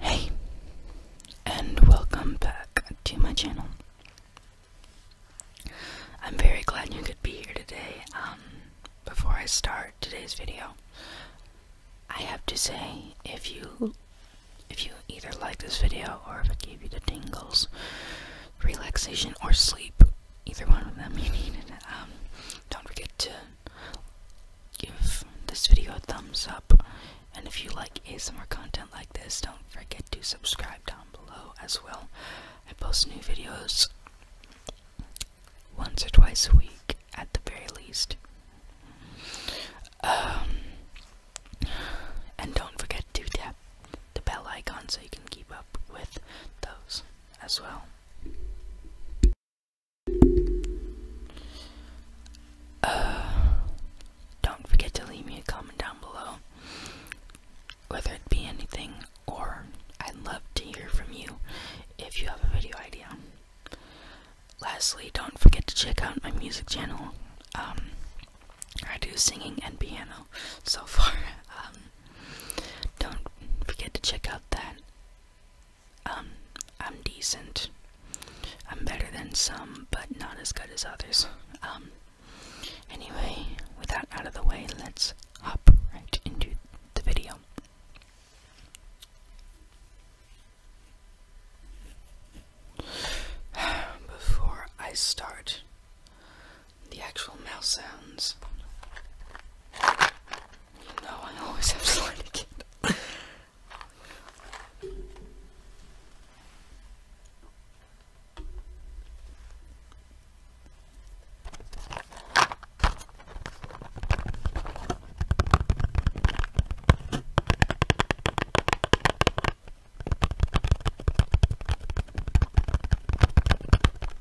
Hey, and welcome back to my channel. I'm very glad you could be here today. Um, before I start today's video, I have to say, if you, if you either like this video or if it gave you the tingles, relaxation or sleep, either one of them you needed, um, don't forget to give this video a thumbs up. And if you like more content like this, don't forget to subscribe down below as well. I post new videos once or twice a week at the very least. Um, and don't forget to tap the bell icon so you can keep up with those as well. don't forget to leave me a comment down below, whether it be anything, or I'd love to hear from you if you have a video idea. Lastly, don't forget to check out my music channel. Um, I do singing and piano so far. Um, don't forget to check out that. Um, I'm decent. I'm better than some, but not as good as others. Um, anyway, with that out of the way, let's hop right into the video. Before I start the actual mouse sounds, you know I always have slimy kid.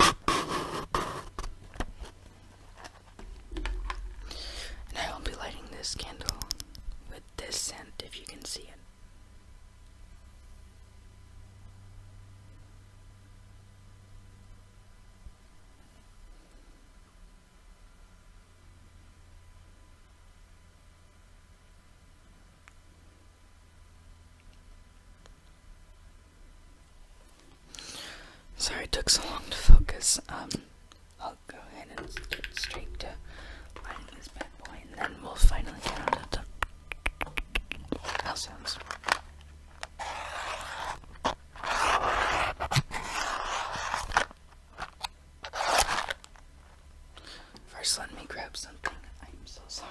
And I will be lighting this candle with this scent if you can see it. Sorry it took so long to focus. Um, I'll go ahead and get straight to lighting this bad boy, and then we'll finally get on to how sounds. First, let me grab something. I'm so sorry.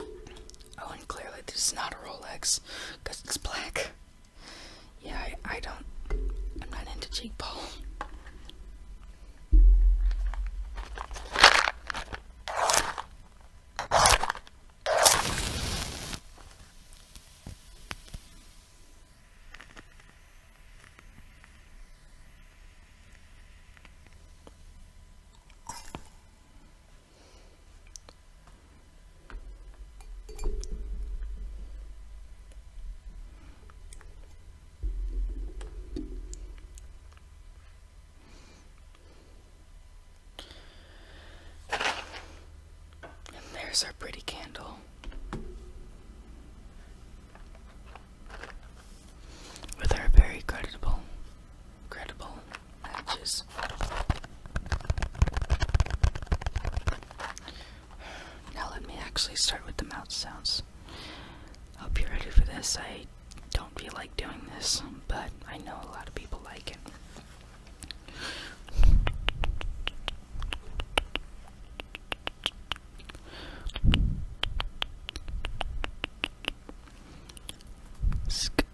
Oh, and clearly this is not a Rolex, because it's black. Yeah, I, don't, I'm not into cheek ball. And there's our pretty candle. With our very credible, credible matches. Now let me actually start with the mouth sounds. Hope you're ready for this. I don't feel like doing this, but I know a lot of people like it. Sk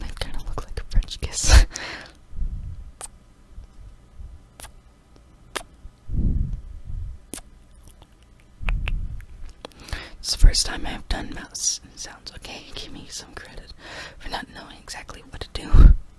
That kind of looks like a French kiss. it's the first time I've done mouse sounds, okay? Give me some credit for not knowing exactly what to do.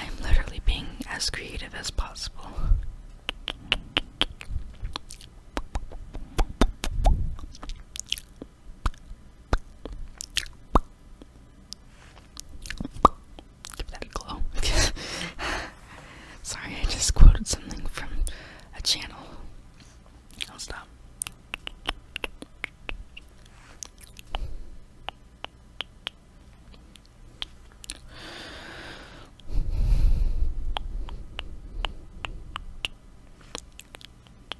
I am literally being as creative as possible. Give that a glow. Sorry, I just quoted something from a channel. I'll stop.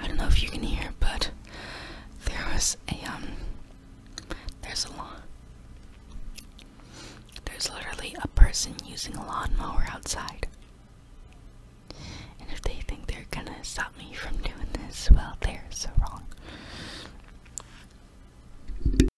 I don't know if you can hear, but there was a um there's a lawn there's literally a person using a lawnmower outside. And if they think they're gonna stop me from doing this, well they're so wrong.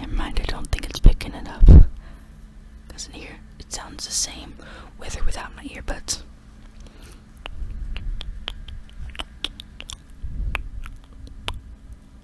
Never mind, I don't think it's picking it up. Doesn't hear it sounds the same with or without my earbuds.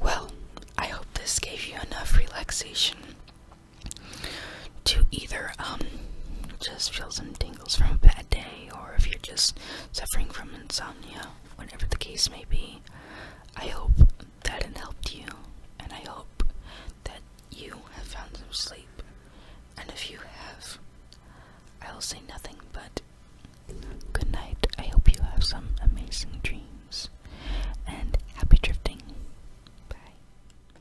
well, I hope this gave you enough relaxation to either um just feel some from a bad day, or if you're just suffering from insomnia, whatever the case may be, I hope that it helped you, and I hope that you have found some sleep. And if you have, I will say nothing but good night. I hope you have some amazing dreams, and happy drifting. Bye.